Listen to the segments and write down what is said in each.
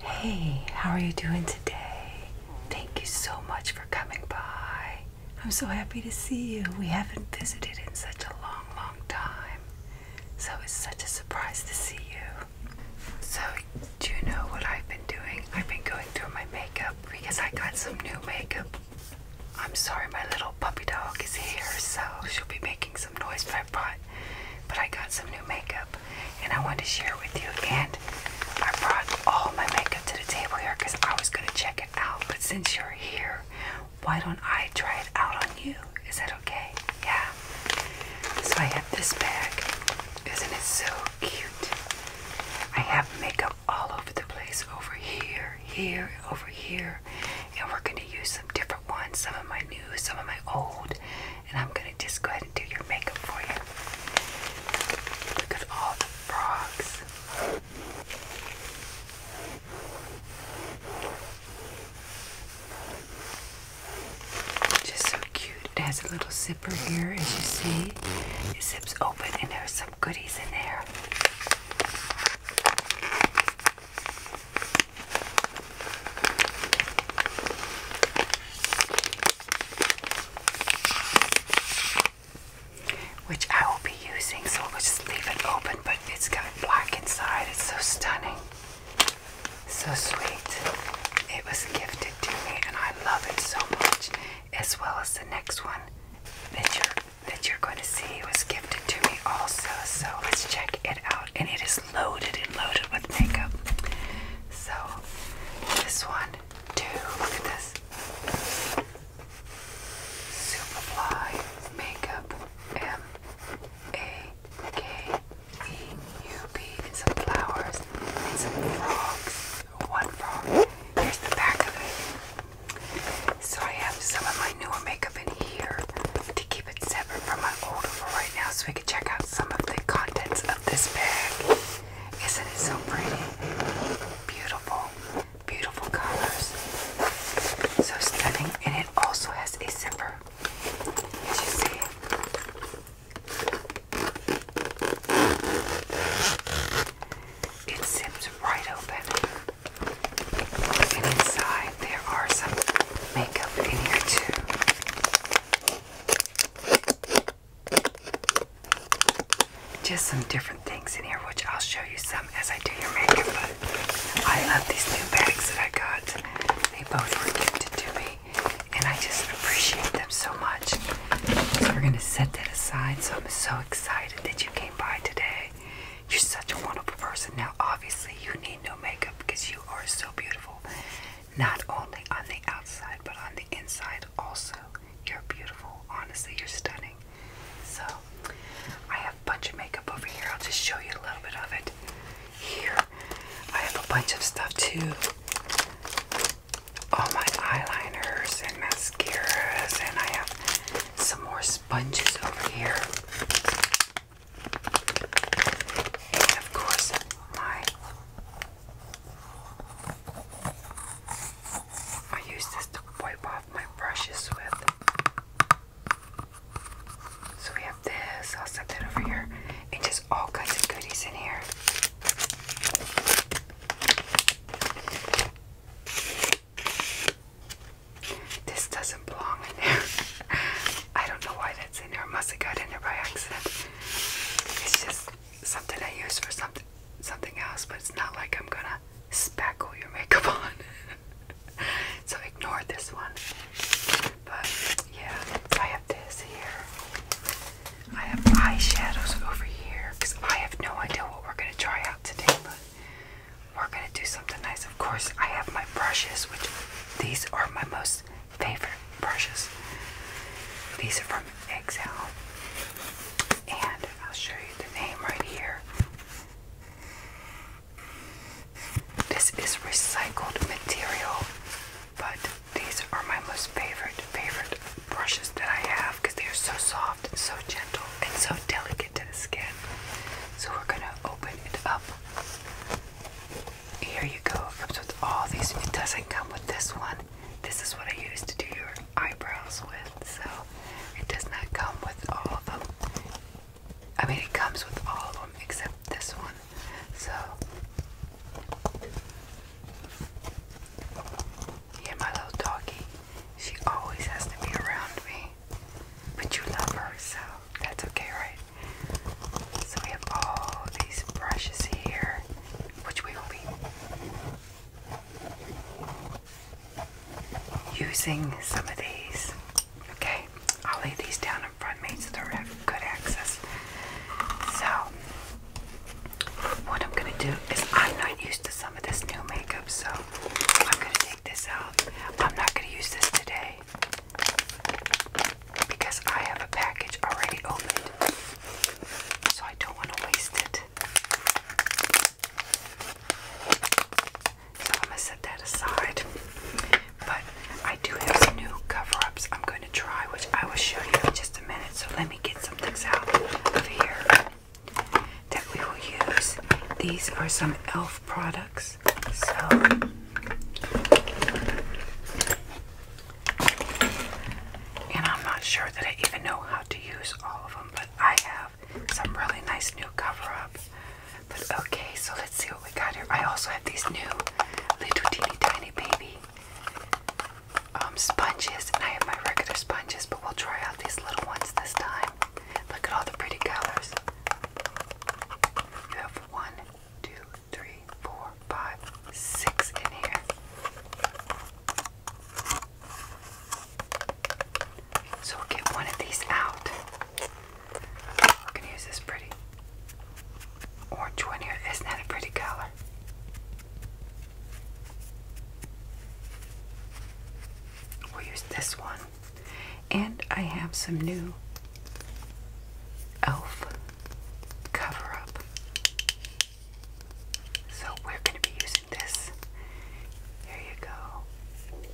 Hey, how are you doing today? Thank you so much for coming by. I'm so happy to see you. We haven't visited in such a long, long time. So it's such a surprise to see you. So, do you know what I've been doing? I've been going through my makeup because I got some new makeup I'm sorry, my little puppy dog is here, so she'll be making some noise. But I brought, but I got some new makeup, and I wanted to share with you. And I brought all my makeup to the table here because I was gonna check it out. But since you're here, why don't I try it out on you? Is that okay? Yeah. So I have this bag. Isn't it so cute? I have makeup all over the place over here, here, over here. And we're going to use some different ones, some of my new, some of my old. And I'm going to just go ahead and do your makeup for you. Look at all the frogs. Just so cute. It has a little zipper here, as you see. It zips open, and there's some goodies in there. Which I will be using, so we'll just leave it open. But it's got black inside, it's so stunning, so sweet. It was gifted to me, and I love it so much as well as the next one that you're that you're going to see was gifted to me also. So let's check it out. And it is loaded and loaded with makeup. So this one, two, look at this. Superfly makeup M A K E U B and some flowers some frogs one from here's the back of it. So I have some of my newer makeup in here to keep it separate from my older one right now, so we can check out some of the contents of this bag. Isn't it so pretty? Beautiful, beautiful colors. So stunning, and it also has a zipper. As you see. It zips right open. And inside there are some makeup in here too. Just some different things in here, which I'll show you some as I do your makeup. I love these new bags that I got. They both were gifted to me, and I just appreciate them so much. So we're gonna set that aside. So I'm so excited that you came by today. You're such a wonderful person. Now, obviously, you need no makeup because you are so beautiful. Not only on the outside, but on the inside also. You're beautiful. Honestly, you're stunning. So, I have a bunch of makeup over here. I'll just show you a little bit of it. Here, I have a bunch of stuff too all my eyeliners and mascaras, and I have some more sponges over here. And of course, my. I use this to wipe off my brushes with. So we have this, I'll set that over here, and just all kinds of goodies in here. This doesn't belong in there. I don't know why that's in there. It must have got in there by accident. It's just something I use for something something else, but it's not like I'm gonna spackle your makeup on. so ignore this one. But yeah, I have this here. I have eyeshadows over here because I have no idea what we're going to try out today, but we're going to do something nice. Of course, I have my brushes, which these are my most favorite brushes. These are from Exile, and I'll show you the name right here. This is recycled material, but these are my most favorite, favorite brushes that I have because they are so soft and so gentle and so delicate to the skin. So we're gonna open it up. Here you go. It comes with all these. It doesn't come with this one. This is what I use to do your eyebrows with. So it does not come with all of them. I mean, it comes with all of them except this one. So yeah, my little doggy. She always has to be around me. But you love her, so that's okay, right? So we have all these brushes here, which we will be using some of these. Okay, I'll lay these down in front of me so they are have good access. So what I'm gonna do is I'm not used to some of this new makeup, so I'm gonna take this out. I'm not gonna use this today because I have a package already opened, so I don't want to waste it. So I'm gonna set that aside. But I do have some new cover-ups I'm going to try, which I will show you in just a minute. So let me get some things out of here that we will use. These are some e.l.f. products. So and I'm not sure that I even know how to use all of them, but I have some really nice new cover-ups. But okay, so let's see what we got here. I also have these new little teeny tiny baby um, sponges, I have my regular sponges, but we'll try out these little ones this time. Look at all the pretty colors. You have one, two, three, four, five, six in here. So we'll get one of these out. We're gonna use this pretty orange one here. Isn't that a pretty color? We'll use this one. And I have some new e.l.f. cover up. So we're going to be using this. There you go.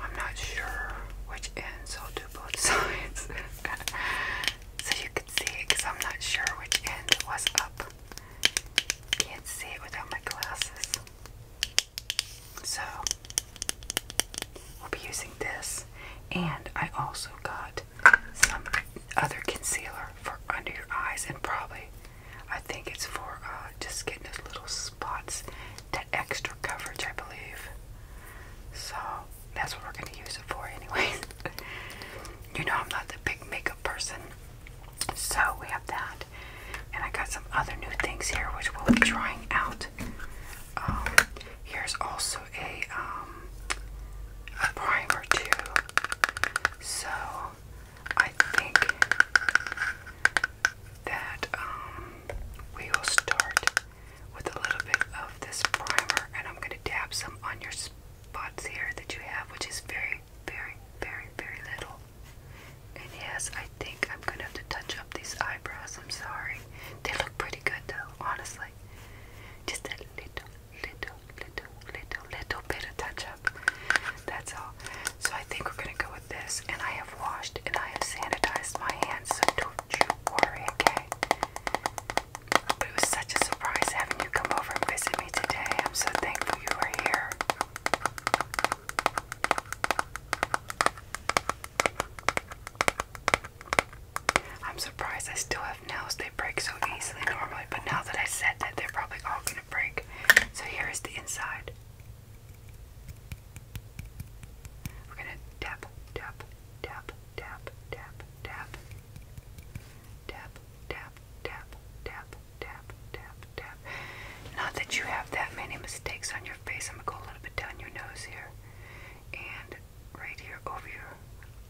I'm not sure which end, so I'll do both sides. so you can see because I'm not sure which end was up. Can't see it without my glasses. So, we'll be using this. And I also got some other concealer for under your eyes, and probably I think it's for uh, just getting those little spots, to extra coverage, I believe. So, that's what we're going to use it for, anyway. you know, I'm not the big makeup person. So we have that. And I got some other new things here which we'll be trying out. Um, here's also a, um, a primer too. So I think that um, we will start with a little bit of this primer and I'm going to dab some on your spots here that you have, which is very, very, very, very little. And yes, I think I'm gonna have to touch up these eyebrows. I'm sorry. They look pretty good though, honestly. Just a little, little, little, little, little bit of touch up. That's all. So I think we're gonna go with this. And I have washed and I have sanitized my hands, so don't you worry, okay? it was such a surprise having you come over and visit me today. I'm so thankful you are here. I'm surprised I still have nails. They break so easily normally, but now that I said that, they're probably all going to break. So here is the inside. We're going to tap, tap, tap, tap, tap, tap, tap, tap, tap, tap, tap, tap, tap, Not that you have that many mistakes on your face. I'm going to go a little bit down your nose here. And right here over your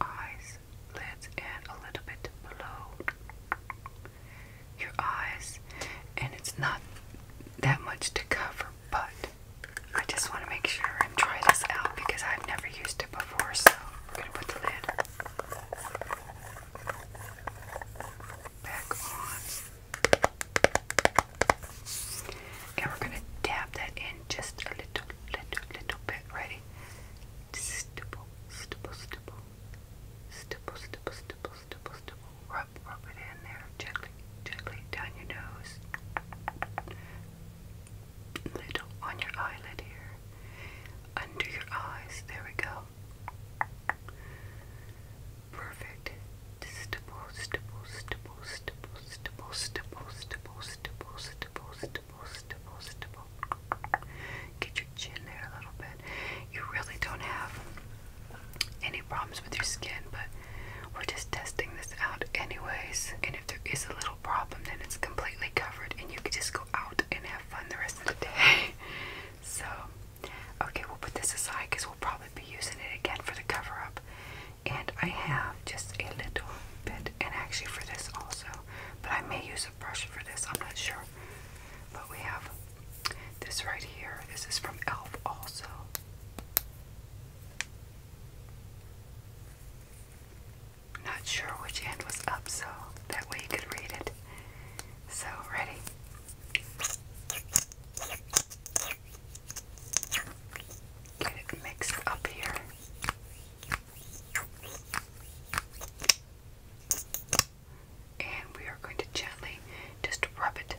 eyes, lids, and a little bit below your eyes. And it's not that much to cover, but I just want to make sure and try this out because I've never used it before. So we're going to put the lid back on. And we're going to dab that in just a little, little, little bit. Ready? Stipple, stipple, stipple. Stipple, stipple, stipple, stipple, stipple. Rub, rub it in there. Gently, gently down your nose little on your eyelid here, under your eyes. There we go. Perfect. Get your chin there a little bit. You really don't have any problems with your skin, but we're just testing this out anyways. And if there is a little problem, then it's completely covered and you can just go out and have fun the rest of the day. so, okay, we'll put this aside because we'll probably be using it again for the cover up. And I have just a little bit, and actually for this also, but I may use a brush for this, I'm not sure. But we have this right here. This is from e.l.f. also not sure which end was up, so that way you could read it. So, ready? Get it mixed up here. And we are going to gently just rub it,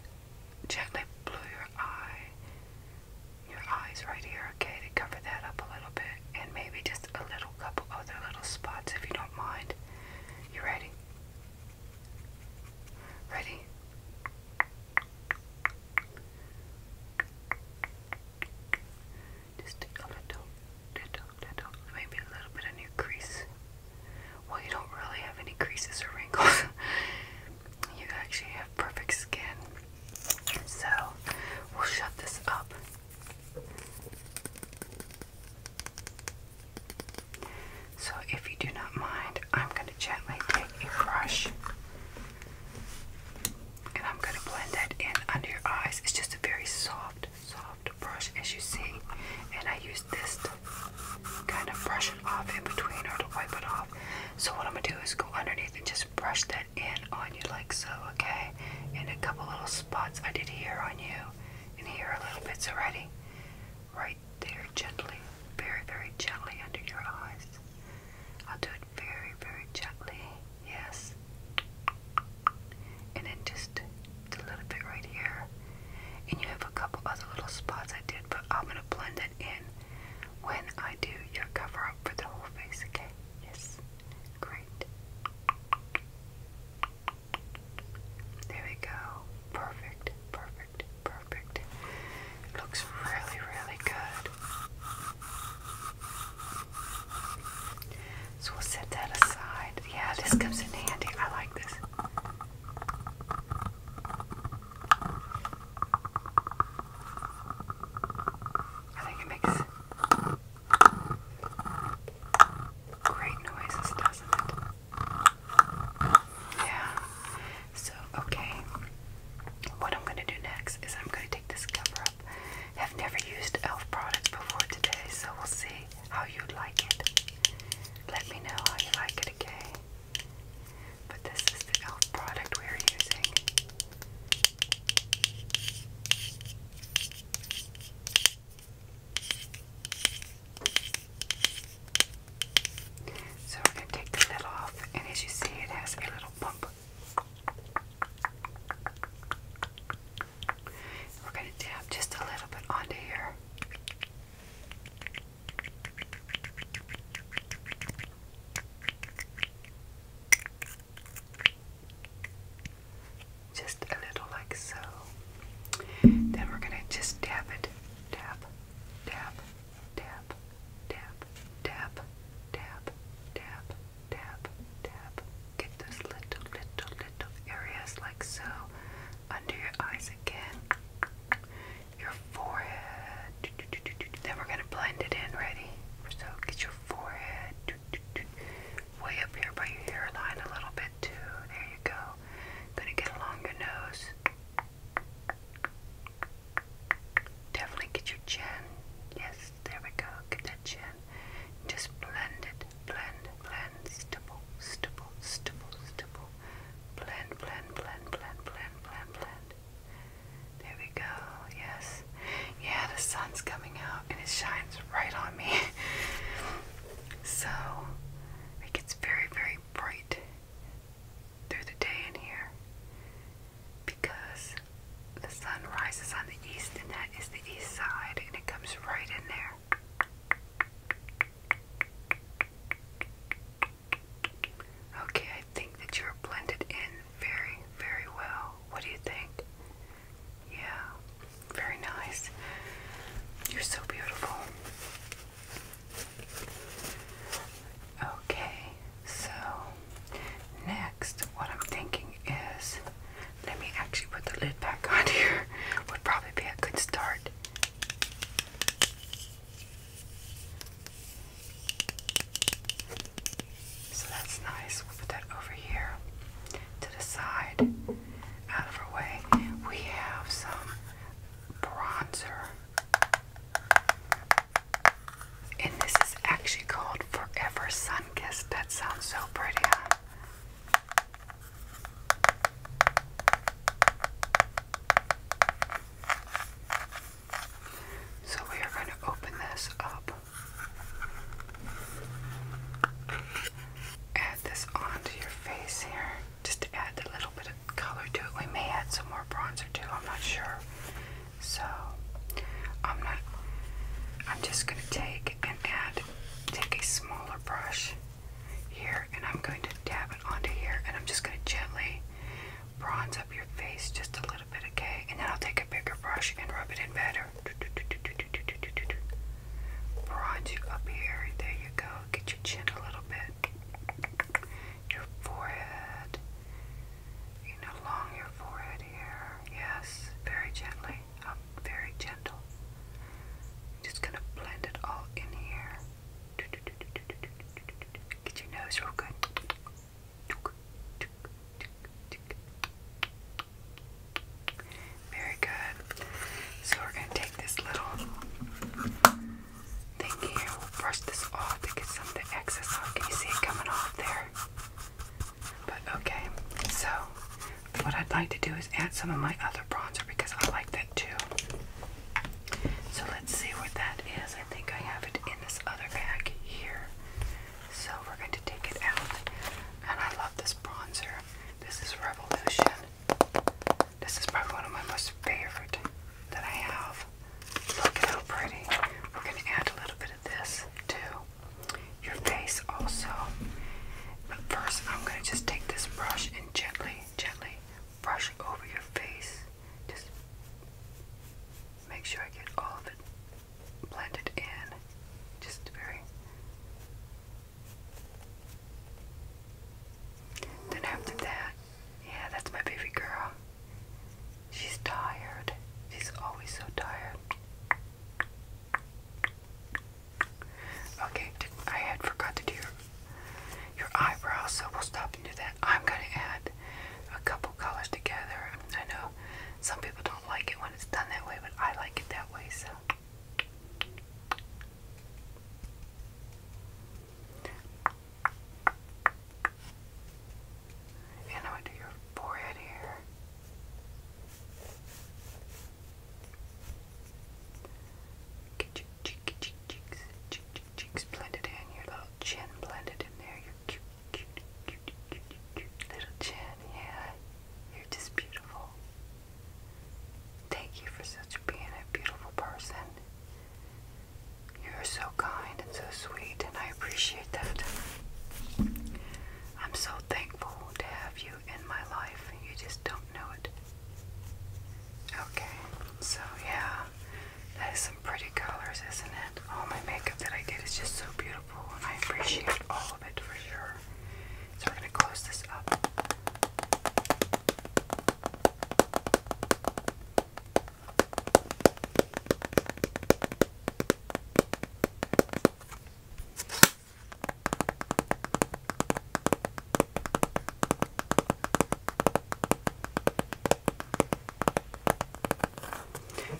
gently blue your eye, your eyes right here, okay, to cover that up a little bit, and maybe just a little cup other little spots if you don't mind. You ready? Ready? Just a little, little, little, maybe a little bit of new crease. Well, you don't really have any creases or wrinkles. you actually have perfect skin. So, we'll shut this up so, if you do not mind, I'm going to gently take a brush and I'm going to blend that in under your eyes. It's just a very soft, soft brush, as you see. And I use this to kind of brush it off in between or to wipe it off. So, what I'm going to do is go underneath and just brush that cut in on you like so, okay? And a couple little spots I did here on you and here a little bits already. Right there, gently. Very, very gently under your eyes. I'll do it very, very gently. Yes. And then just a little bit right here. And you have a couple other little spots I did, but I'm going to blend it in when I do your cover up for the whole face, okay? Yes. Great. There we go. Perfect, perfect, perfect. It looks really, really good. So we'll set that aside. Yeah, this comes in handy. I like this. I think it makes Great noises, doesn't it? Yeah. So, okay. What I'm gonna do next is I'm gonna take this cover up. have never used e.l.f. products before today, so we'll see how you like it. Let me know how you like it, okay? But this is the e.l.f. product we're using. So we're going to take the lid off, and as you see, it has a little bump. We're going to dab just a little bit onto here. Just a little like so. Then we're going to just dab it. Dab, dab, dab, dab, dab, dab, dab, dab, dab. Get those little, little, little areas like so. Under your eyes again. Your forehead. Then we're going to blend it in. Ready? So get your forehead way up here by your hairline a little bit too. There you go. Gonna get along your nose. Definitely get your chin. Yes, there we go. Get that chin. Just blend it. Blend, blend, stipple, stipple, stipple, stipple. Blend, blend, blend, blend, blend, blend, blend. There we go. Yes. Yeah, the sun's coming out and it shines right on me. so it gets very, very bright through the day in here because the sun rises on the east and that is the east side and it comes right in there. Okay, I think that you're blended in very, very well. What do you think? Yeah, very nice. You're so beautiful. Okay, so next, what I'm thinking is let me actually put the lid back on here, would probably be a good start. So that's nice. We'll put that over here to the side, out of our way. We have some bronzer. And this is actually called Forever Sun Kiss. That sounds so pretty, So we are going to open this up. Add this onto your face here, just to add a little bit of color to it. We may add some more bronzer too, I'm not sure. So, I'm not, I'm just going to take and add, take a smaller brush here, and I'm going to dab it onto here, and I'm just going to gently bronze up your face just a little okay? And then I'll take a bigger brush and rub it in better. Bronze up here. There you go. Get your chin a little bit. Your forehead. You know, along your forehead here. Yes, very gently. Up, um, very gentle. Just gonna blend it all in here. Get your nose real good. Very good. So we're going to take this little thing here. We'll brush this off to get some of the excess off. Can you see it coming off there? But okay. So what I'd like to do is add some of my other bronzer because I like that too. So let's see what that is. I think I have it in this other bag here. So we're going to take it out. And I love this bronzer. This is Revolution. This is probably one of my most favorite that I have. Look at how pretty. We're going to add a little bit of this to your face also. But first, I'm going to just take this brush and gently, gently brush over your face. Just make sure I get all of it blend it in just very then after that yeah that's my baby girl she's tired she's always so tired okay I had forgot to do your, your eyebrows so we'll stop and do that I'm gonna add a couple colors together. I know some people don't like it when it's done that way, but I like it that way, so. And I went your forehead here. Get your cheek, cheek, cheeks, cheek, blended in, your little chin blended in there, cute, cute, cute, cute, cute little chin. Yeah, you're just beautiful. Thank you for such being a beautiful person. You're so kind and so sweet, and I appreciate that. I'm so thankful to have you in my life. You just don't know it. Okay, so yeah, that is some pretty colors, isn't it? All my makeup that I did is just so beautiful. I appreciate all of it for sure. So we're going to close this up.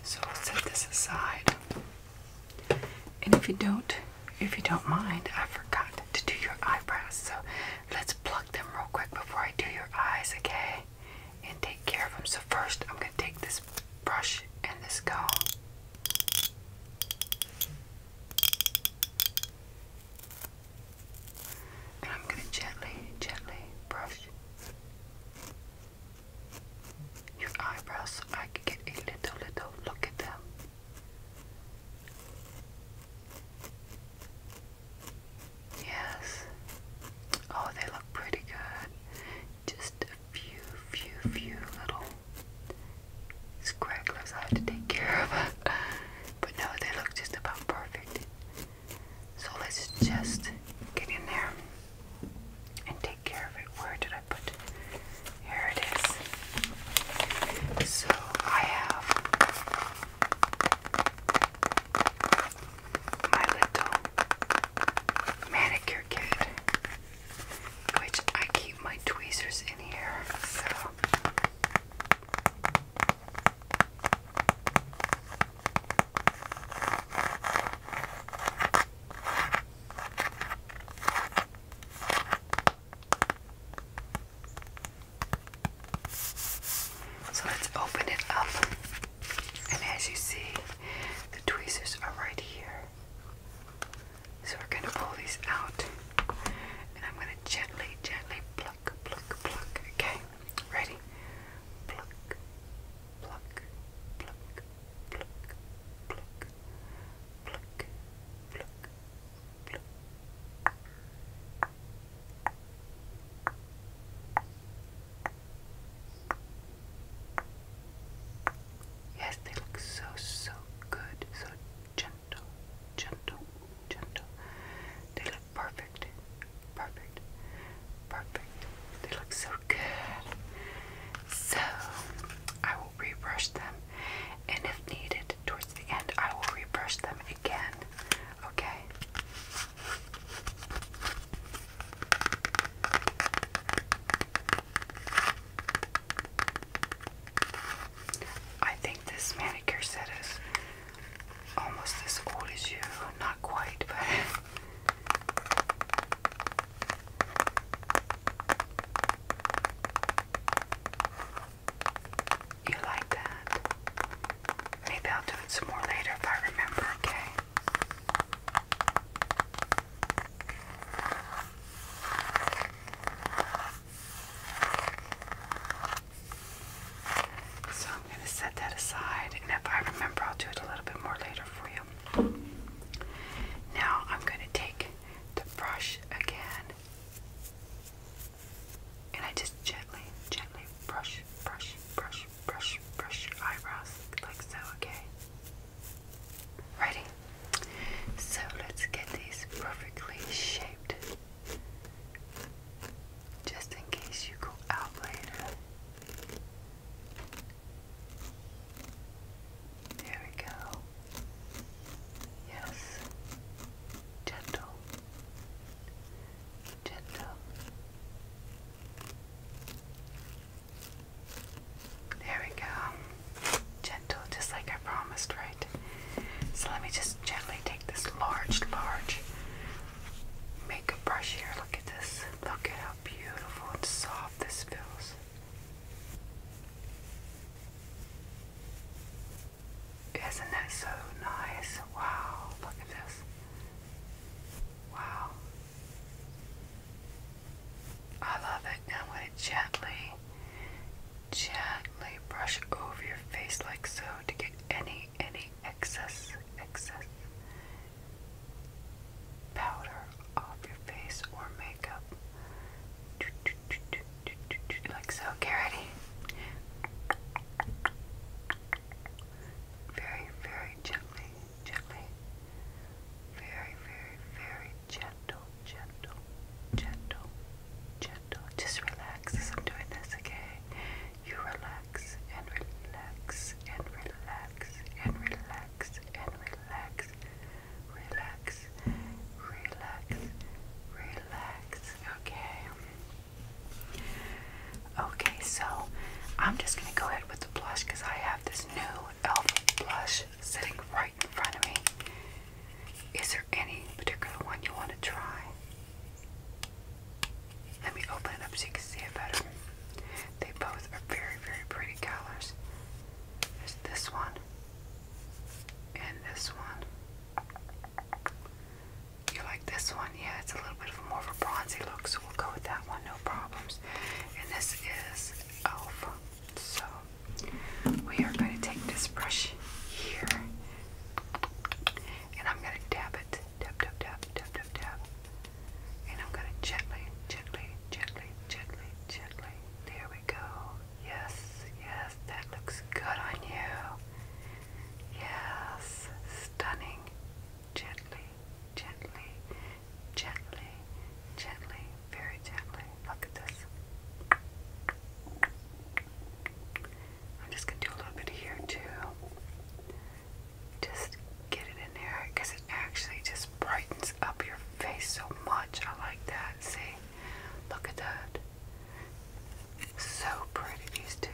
So i will set this aside. And if you don't, if you don't mind, I forgot to do your eyebrows. So let's pluck them real quick before I do your eyes, okay? And take care of them. So first, I'm gonna take this brush and this comb. And I'm going to gently, gently brush your eyebrows, I can get a little, little look at them. Yes. Oh, they look pretty good. Just a few, few, few little scragglers I had to take care of. but no, they look just about perfect. So let's just get in there and take care of it. Where did I put? Here it is. So I have my little manicure kit, which I keep my tweezers in here. So let's open it up, and as you see, the tweezers are right here. So we're going to pull these out, and I'm going to gently, gently pluck, pluck, pluck. Okay, ready? Pluck, Yes, they look so, so good, so gentle, gentle, gentle. They look perfect, perfect, perfect. They look so good. So I will rebrush them, and if needed, towards the end, I will rebrush them again. Okay. I think this manicure set is almost as old as you. Not quite, but You like that? Maybe I'll do it some more later if I remember, okay? So I'm going to set that aside, and if I remember, I'll do it a little bit more later for you. Now I'm going to take the brush again, and I just gently, gently brush, brush, brush, brush, brush eyebrows like so, okay? Ready? So let's get these perfectly shaped. Just in case you go out later there we go. Yes. Gentle. Gentle. There we go. Gentle, just like I promised, right? So let me just gently take this large, large makeup brush here. Look at this. Look at how beautiful and soft this feels. Isn't that so nice? Wow, look at this. Wow. I love it. I'm going to gently, gently brush over your face like so to get any, any excess, excess, powder off your face or makeup. Like so, get ready. Very, very gently, gently. Very, very, very gentle, gentle, gentle, gentle. Just relax as I'm doing this, okay? You relax and relax and relax and relax and relax. Relax, relax, relax. Okay. Okay, so I'm just gonna go ahead with the blush because I have this new elf blush sitting right in front of me. Is there any particular one you want to try? Let me open it up so you can see it better. They both are very, very pretty colors. There's this one and this one. You like this one? Yeah, it's a little bit of more of a bronzy look, so we'll go with that one, no problems. And this is Elf. So we are going to take this brush here and I'm going to dab it tap, tap, tap, tap, tap, tap. And I'm going to gently, gently, gently, gently, gently. There we go. Yes, yes, that looks good on you. Yes, stunning. Gently, gently, gently, gently, very gently. Look at this. I'm just going to do a little bit here too just get it in there because it actually just brightens up your face so much. I like that. See? Look at that. So pretty, these two.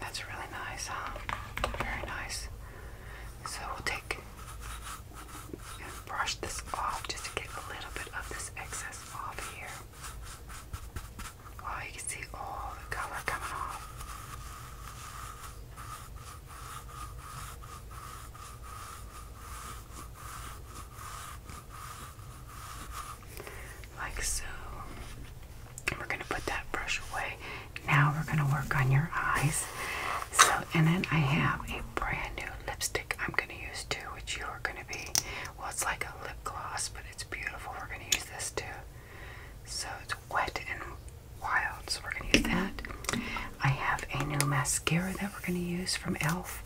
That's really nice, huh? Very nice. So we'll take and brush this off just to get a little bit of this excess off here. Wow, you can see all the color coming off. Like so. We're going to put that brush away. Now we're going to work on your eyes. So, and then I have a brand new lipstick I'm going to use too, which you are going to be, well, it's like a lip gloss, but it's beautiful. We're going to use this too. So it's wet and wild, so we're going to use that. I have a new mascara that we're going to use from e.l.f.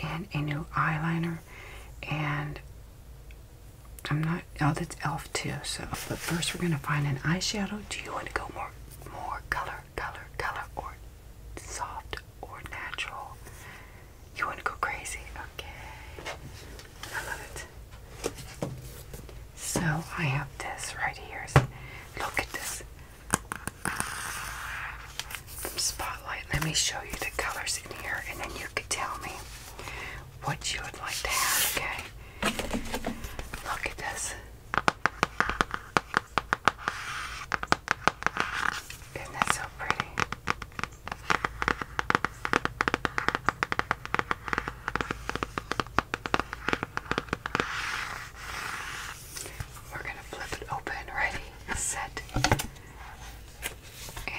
and a new eyeliner and I'm not. Oh, that's elf too. So, but first we're gonna find an eyeshadow. Do you want to go more, more color, color, color, or soft or natural? You want to go crazy? Okay. I love it. So I have this right here. Look at this Spotlight. Let me show you the colors in here, and then you could tell me what you would like to have, okay? Look at this. Isn't that so pretty? We're going to flip it open. Ready, set. And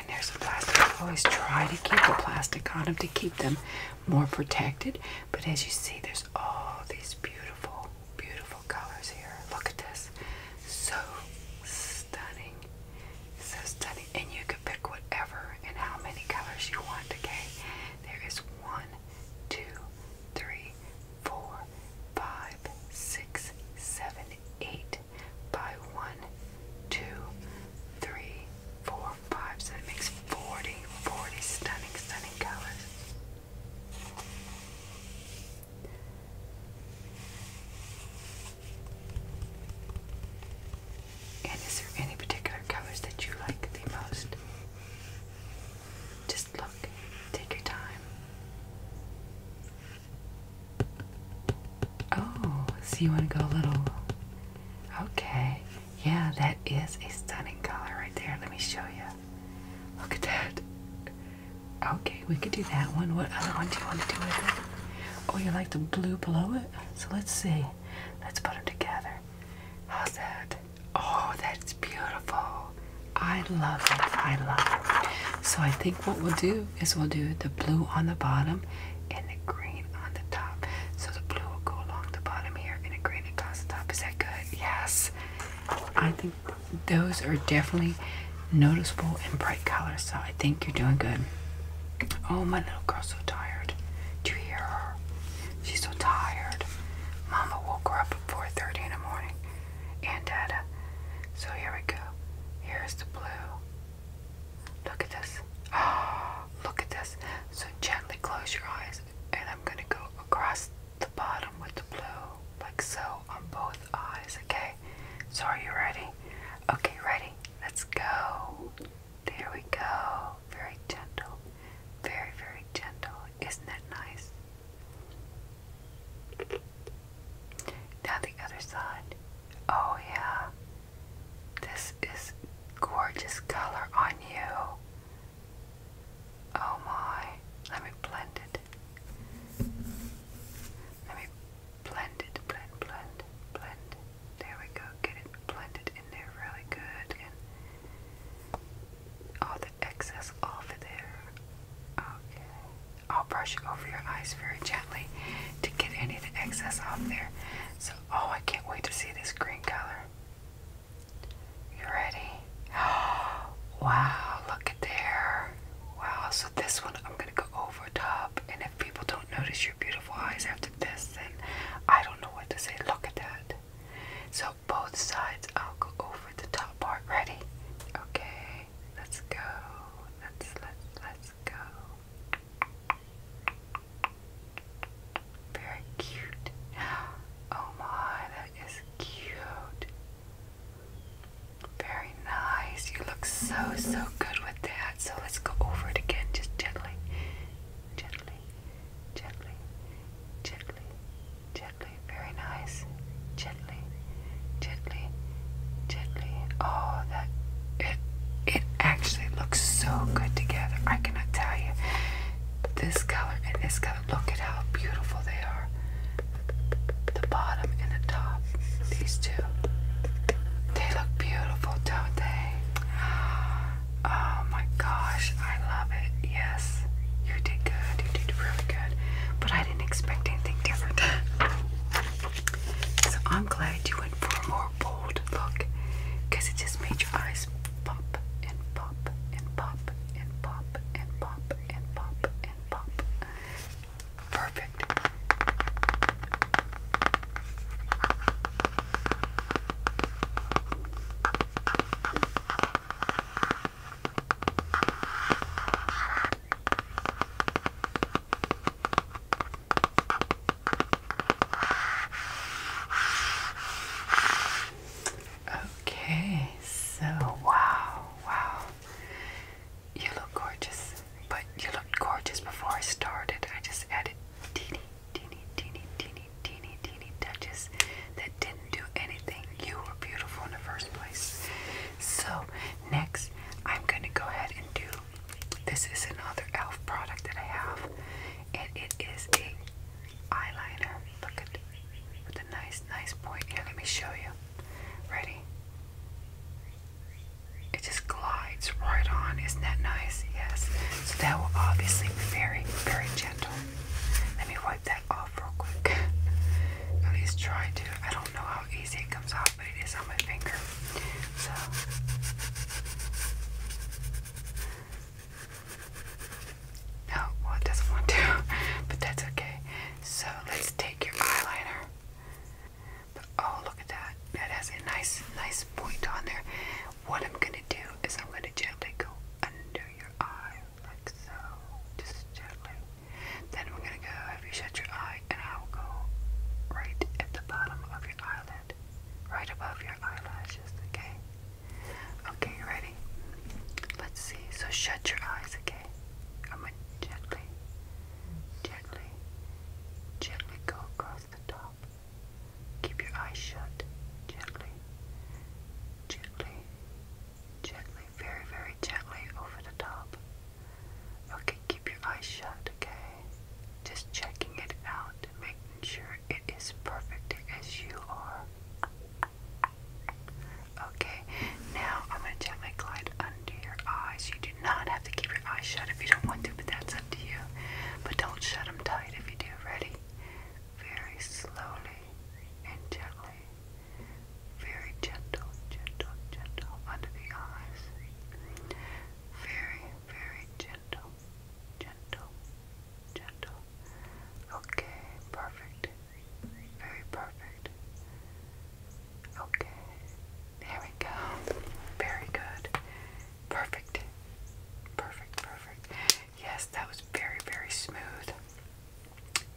there's the plastic. Always try to keep the plastic on them to keep them more protected. But as you see, there's all these beautiful, beautiful colors here. Look at this. So stunning. So stunning. And you can pick whatever and how many colors you want, okay? There is one, two, three, four, five, six, seven, eight. By one, two, three, four, five, so it makes 40, 40 stunning, stunning colors. And is there any particular colors that you like the most? Just look, take your time. Oh, so you want to go a little. Okay. Yeah, that is a stunning color right there. Let me show you. Look at that. Okay, we could do that one. What other one do you want to do with it? Oh, you like the blue below it? So let's see. Let's put them together. How's that? Oh, that's beautiful. I love it. I love it. So I think what we'll do is we'll do the blue on the bottom and the green on the top. So the blue will go along the bottom here and the green across the top. Is that good? Yes. I think those are definitely noticeable and bright colors. So I think you're doing good. Oh, my little girl's so tired. Do you hear her? She's so tired. Mama woke her up at 4.30 in the morning. And Dada. So here we go. Here's the blue. Look at this. Oh, look at this. So gently close your eyes, and I'm going to go across the bottom with the blue, like so, on both eyes, okay? So are you ready? Okay, ready? Let's go. There we go. Very gentle. Very, very gentle. Isn't that nice? Now the other side. Oh, yeah. This is gorgeous color on you. Oh my. Let me blend it. Let me blend it, blend, blend, blend. There we go. Get it blended in there really good. all the excess off of there. Okay. I'll brush over your eyes very gently to get any excess off there. So Oh, I can't wait to see this green color. You ready? Wow, look at there. Wow, so this one I'm gonna go over top, and if people don't notice your beautiful eyes after this, then I don't know what to say. Look at that. So both sides, I'll go over the top part. Ready? Okay, let's go. Let's let's let's go. Very cute. Oh my, that is cute. Very nice. You look so, so good with that. So let's go over it again, just gently. Gently, gently, gently, gently. Very nice. Gently, gently, gently. Oh, that it it actually looks so good together. I cannot tell you. This color and this color. Look at how beautiful they are. The bottom and the top. These two. They look beautiful, don't they? Oh my gosh, I love it. Yes, you did good. You did really good. But I didn't expect anything different. so I'm glad you went for a more bold look because it just made your eyes pop and pop and pop and pop and pop and pop and pop. Perfect. Okay, so wow, wow. You look gorgeous, but you looked gorgeous before I started. I just added teeny, teeny, teeny, teeny, teeny, teeny touches that didn't do anything. You were beautiful in the first place. So, next, I'm going to go ahead and do this is another e.l.f. product that I have, and it is a eyeliner. Look at with a nice, nice point. Here, let me show you. Ready? It just glides right on. Isn't that nice? Yes. So that will obviously be very, very gentle. Let me wipe that off real quick. At least try to. I don't know how easy it comes off, but it is on my finger. So no, well it doesn't want to, but that's okay. So let's take your eyeliner. But, oh look at that. That has a nice, nice point on there. What I'm gonna do is I'm gonna gently go under your eye, like so. Just gently. Then we're gonna go have you shut your eye and I'll go right at the bottom of your eyelid right above your eyelashes, okay? Okay, ready? Let's see. So shut your eyes, okay? I'm gonna gently, gently, gently go across the top. Keep your eyes shut. Gently, gently, gently, very, very gently over the top. Okay, keep your eyes shut, okay? Just checking it out, making sure it is perfect as you are. Okay, now I'm going to gently glide under your eyes. You do not have to keep your eyes shut if you don't want to, but that's up to you. But don't shut them tight if you do. Ready? Very slowly and gently. Very gentle, gentle, gentle under the eyes. Very, very gentle gentle, gentle, gentle. Okay, perfect. Very perfect. Okay, there we go. Very good. Perfect. Perfect, perfect. Yes, that was very, very smooth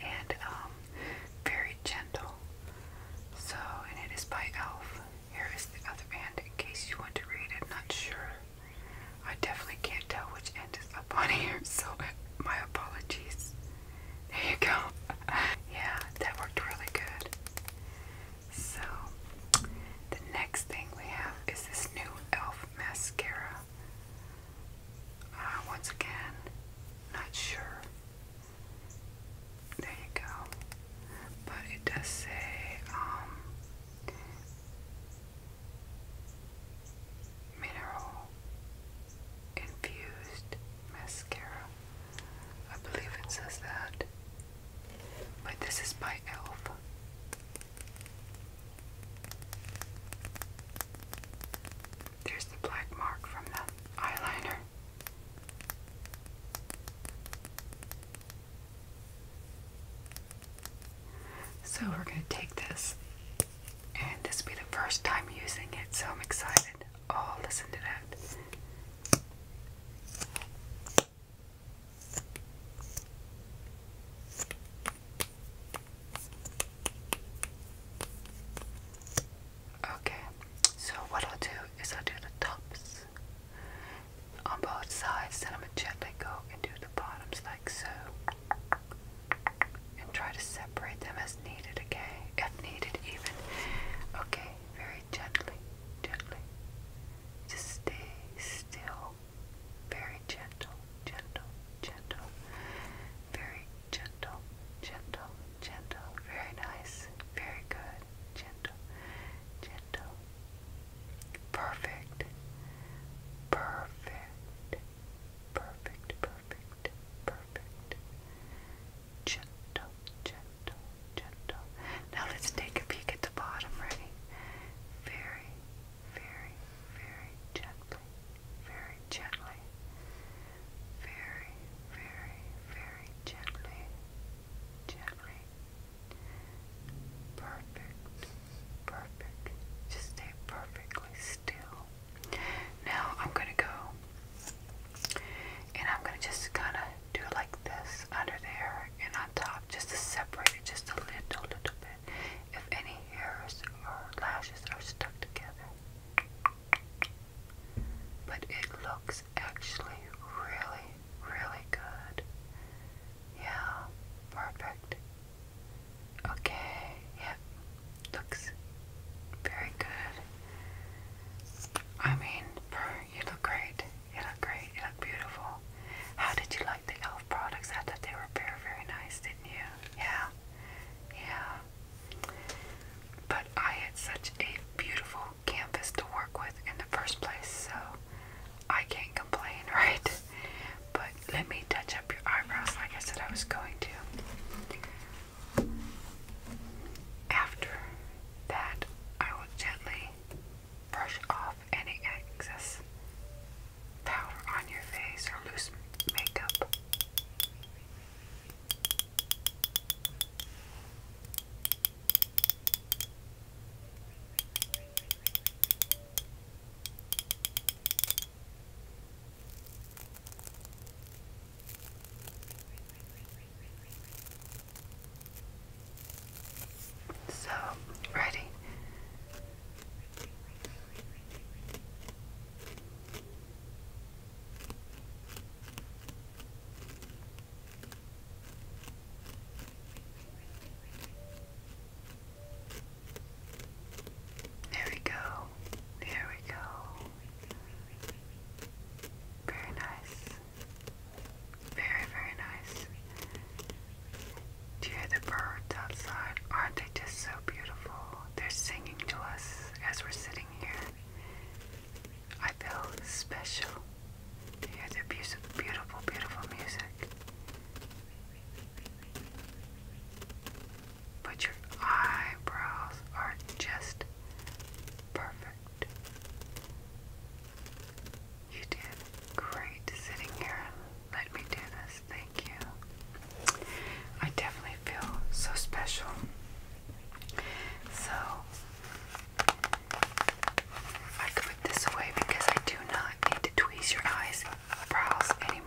and um, very gentle. So, and it is by e.l.f. Here is the other end in case you want to read it. not sure. I definitely can't tell which end is up on here, so my apologies. There you go. yeah, that worked really good. So, the next thing we have is this new e.l.f. mascara. Uh, once again, not sure. There you go. But it does say, um, mineral infused mascara. I believe it says that. But this is by e.l.f. There's the black mark from the eyeliner. So we're going to take this, and this will be the first time using it, so I'm excited. Oh, listen to that. Okay, so what I'll do is I'll do the tops on both sides. Then I'm going to gently go and do the bottoms like so. And try to separate them as needed, okay? If needed, even. Okay, very gently, gently. Just stay still. Very gentle, gentle, gentle. Very gentle, gentle, gentle. Very nice. Very good. Gentle gentle, perfect, perfect, perfect, perfect, perfect, gentle, gentle, gentle. Now let's take a peek at the bottom, ready? Very, very, very gently, very gently, very, very, very gently. Gently, Perfect. Perfect. Just stay perfectly still. Now I'm going to go and I'm going to just kind of do it like this under there and on top just to separate it just a little, little bit. If any hairs or lashes are stuck together. But it looks actually really Really good. Yeah, perfect. Okay, yep, looks very good. I mean, you look great. You look great. You look beautiful. How did you like the e.l.f. products? I thought they were very, very nice, didn't you? Yeah, yeah. But I had such a beautiful canvas to work with in the first place, so I can't complain, right? But let me touch up your eyebrows like I said I was going to. After that, I will gently brush off any excess powder on your face or loose makeup. So, ready. There we go. There we go. Very nice. Very, very nice. Do you hear the birds outside? Aren't they just so beautiful? They're singing to us as we're sitting here. I feel special to hear their beautiful, beautiful music. But your eyebrows are just perfect. You did great sitting here let me do this. Thank you. I definitely feel so special. So, I could put this away because I do not need to tweeze your eyes brows anymore.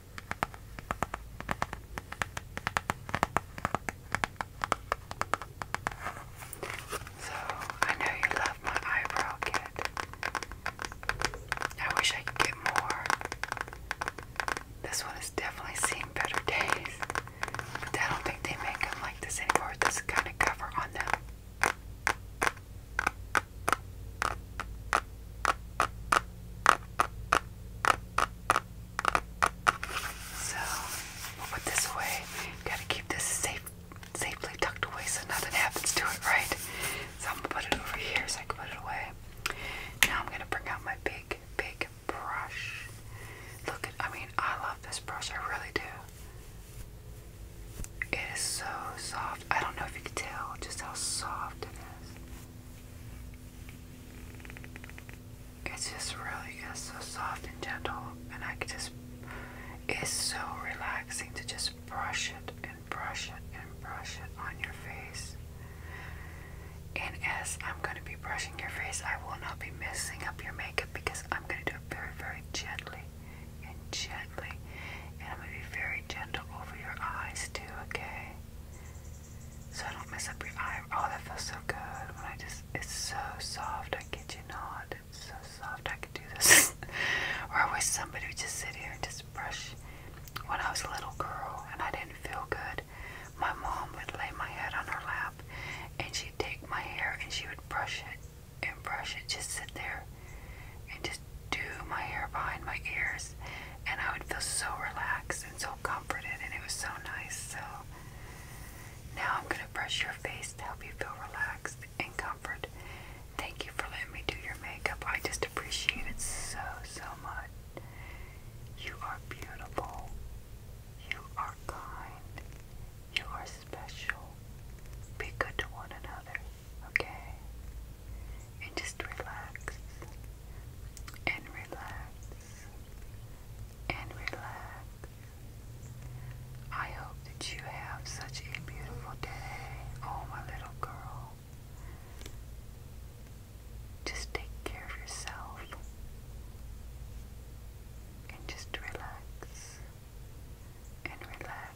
So, I know you love my eyebrow kit. I wish I could get more. This one is definitely seeing better days. But I don't think they make them like this anymore. This kind of cover on them. So we'll put this away. Gotta keep this safe, safely tucked away so nothing happens to it, right? So I'm gonna put it over here so I can put it away. Now I'm gonna bring out my big, big brush. Look at, I mean, I love this brush, I really do. It is so soft. I don't know if you can tell just how soft it is. It's just really just so soft and gentle, and I just, it's so relaxing to just brush it and brush it and brush it on your face. And as I'm going to be brushing your face, I will not be messing up your makeup because I'm going to do it very, very gently and gently. And I'm going to be very gentle over your eyes too, okay? so I don't mess up your eye. Oh, that feels so good when I just, it's so soft. I kid you not. It's so soft. I could do this. or I wish somebody would just sit here and just brush. When I was a little girl and I didn't feel good, my mom would lay my head on her lap and she'd take my hair and she would brush it and brush it. Just sit there and just do my hair behind my ears and I would feel so relaxed and so comforted and it was so nice. So now I'm gonna brush your face to help you feel relaxed and comfort. Thank you for letting me do your makeup. I just appreciate it so so much. You are beautiful. You are kind. You are special. Be good to one another. Okay? and just relax and relax and relax. I hope that you have such a beautiful day, oh my little girl. Just take care of yourself and just relax and relax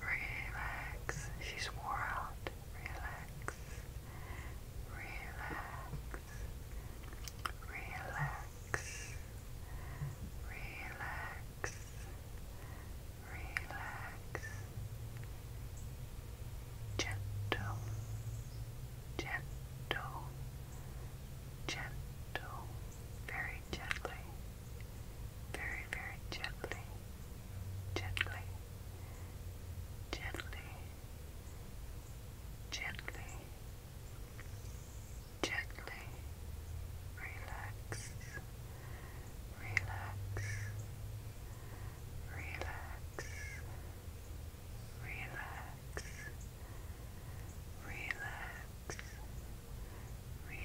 Relax. She's wore out. Relax. Relax. Relax. Relax. Relax. Gentle. Gentle. Gentle. Very gently very, very gently, gently, gently, gently, gently relax, relax, relax, relax, relax. Relax,